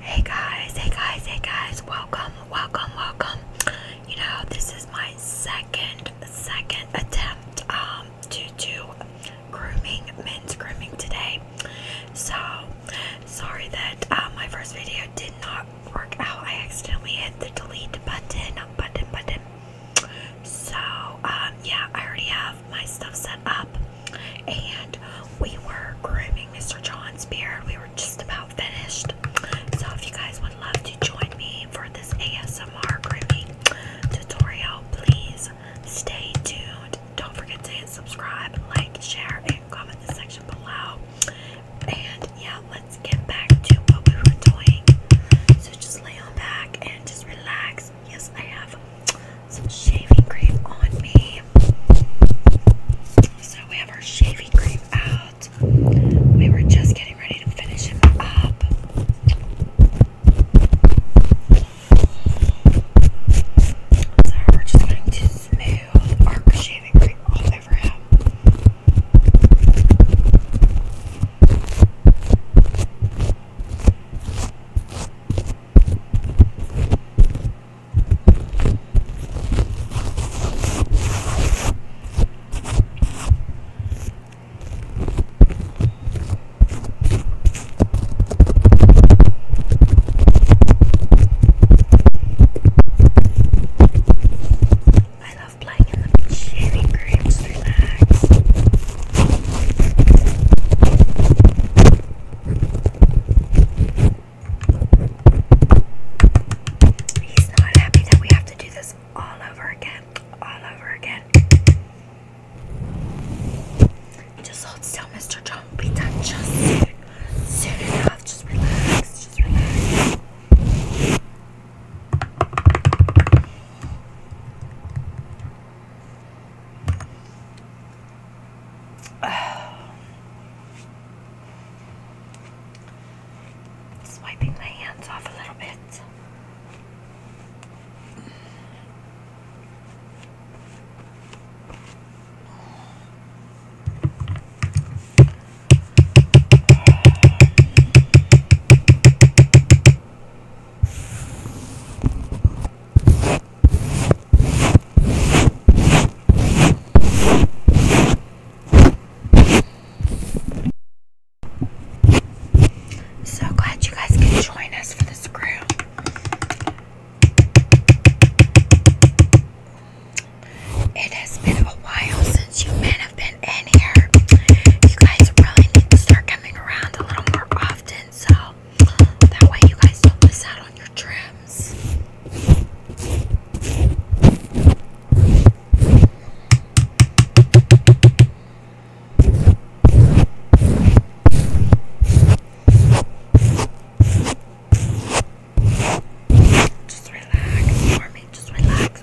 Hey guys, hey guys, hey guys, welcome, welcome, welcome. You know, this is my second, second attempt um, to do grooming, men's grooming today. So, sorry that uh, my first video did not work out. I accidentally hit the delete button, button, button. So, um, yeah, I already have my stuff set up and we were grooming Mr. John's beard. We were just about finished. So if you guys would love to join me for this ASMR grooming tutorial, please stay tuned. Don't forget to hit subscribe, like, share, and comment in the section below. And yeah, let's get back to what we were doing. So just lay on back and just relax. Yes, I have some shaving cream on me. So we have our shaving cream out. We were just getting ready to finish him up. So we're just going to smooth our shaving cream all over him. I love playing in the beach shaving relax. He's not happy that we have to do this all over again. All over again. Just hold still, Mr. John. Be done just soon. Soon enough. Just relax. Just relax. Swiping my hands off a little bit. So glad you guys could join us for this crew. It has been a while since you men have been in here. You guys really need to start coming around a little more often. So that way you guys don't miss out on your trims. Just relax, Army. Just relax.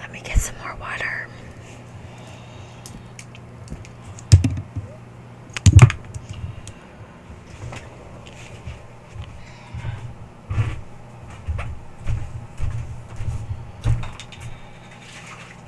Let me get some more water.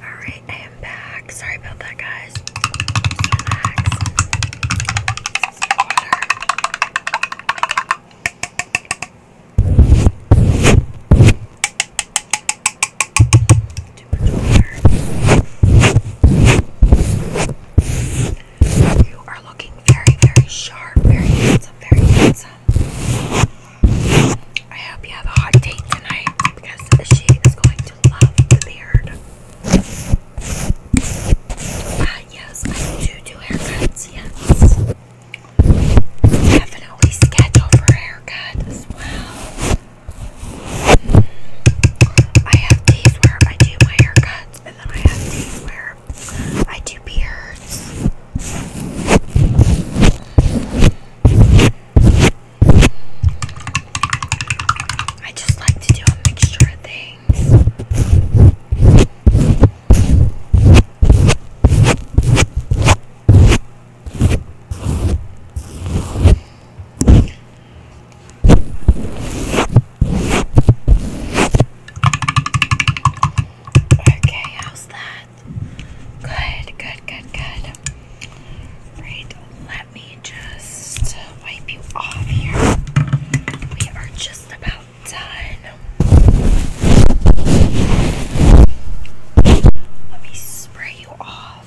Alright, I am back. Sorry about that, guys. You are looking very, very sharp, very handsome, very handsome. I hope you have a hot date tonight because she is going to love the beard. Uh, yes, I do do haircuts, yes. Definitely schedule for haircut as well. Hmm. I have days where I do my haircuts and then I have days where I do beards. I just like to do a mixture of things. Okay, how's that? Good, good, good, good. Right, let me just wipe you off here. We are just about done. Let me spray you off.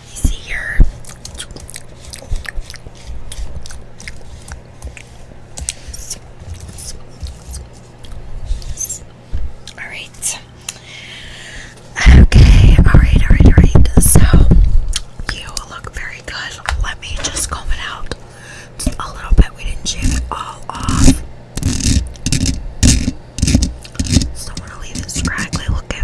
Alright. Okay, alright, alright, alright. So, you look very good. Let me just comb it out a little bit. We didn't shave it all off. don't want to leave it scraggly looking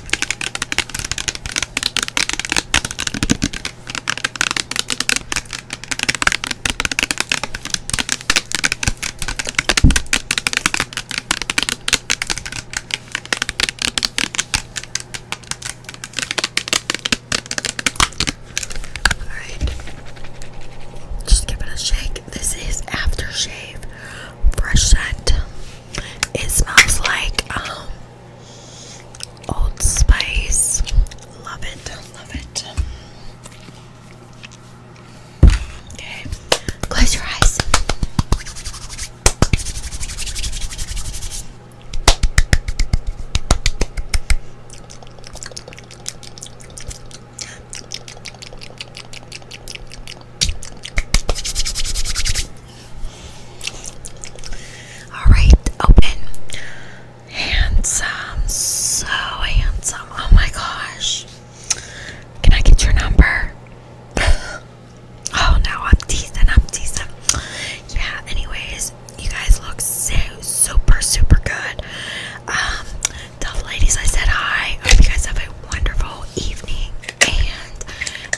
Alright. Just give it a shake. This is aftershave. Fresh scent. It smells like um Old Spice. Love it, love it. Okay, close your eyes. All right, open. Handsome, so handsome. Oh my gosh. Can I get your number? oh no, I'm teasing, I'm teasing. Yeah, anyways, you guys look so super, super good. Um, the ladies I said hi. I you guys have a wonderful evening and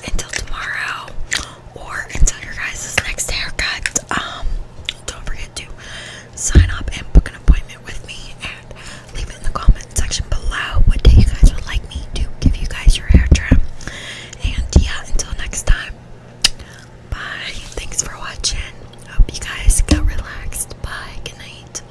until tomorrow or until your guys' next haircut, um, don't forget to sign up and book an appointment with me and leave it in the comment section below what day you guys would like me to give you guys your hair trim. And yeah, until next time. Bye. Thanks for watching. Hope you guys got relaxed. Bye. Good night.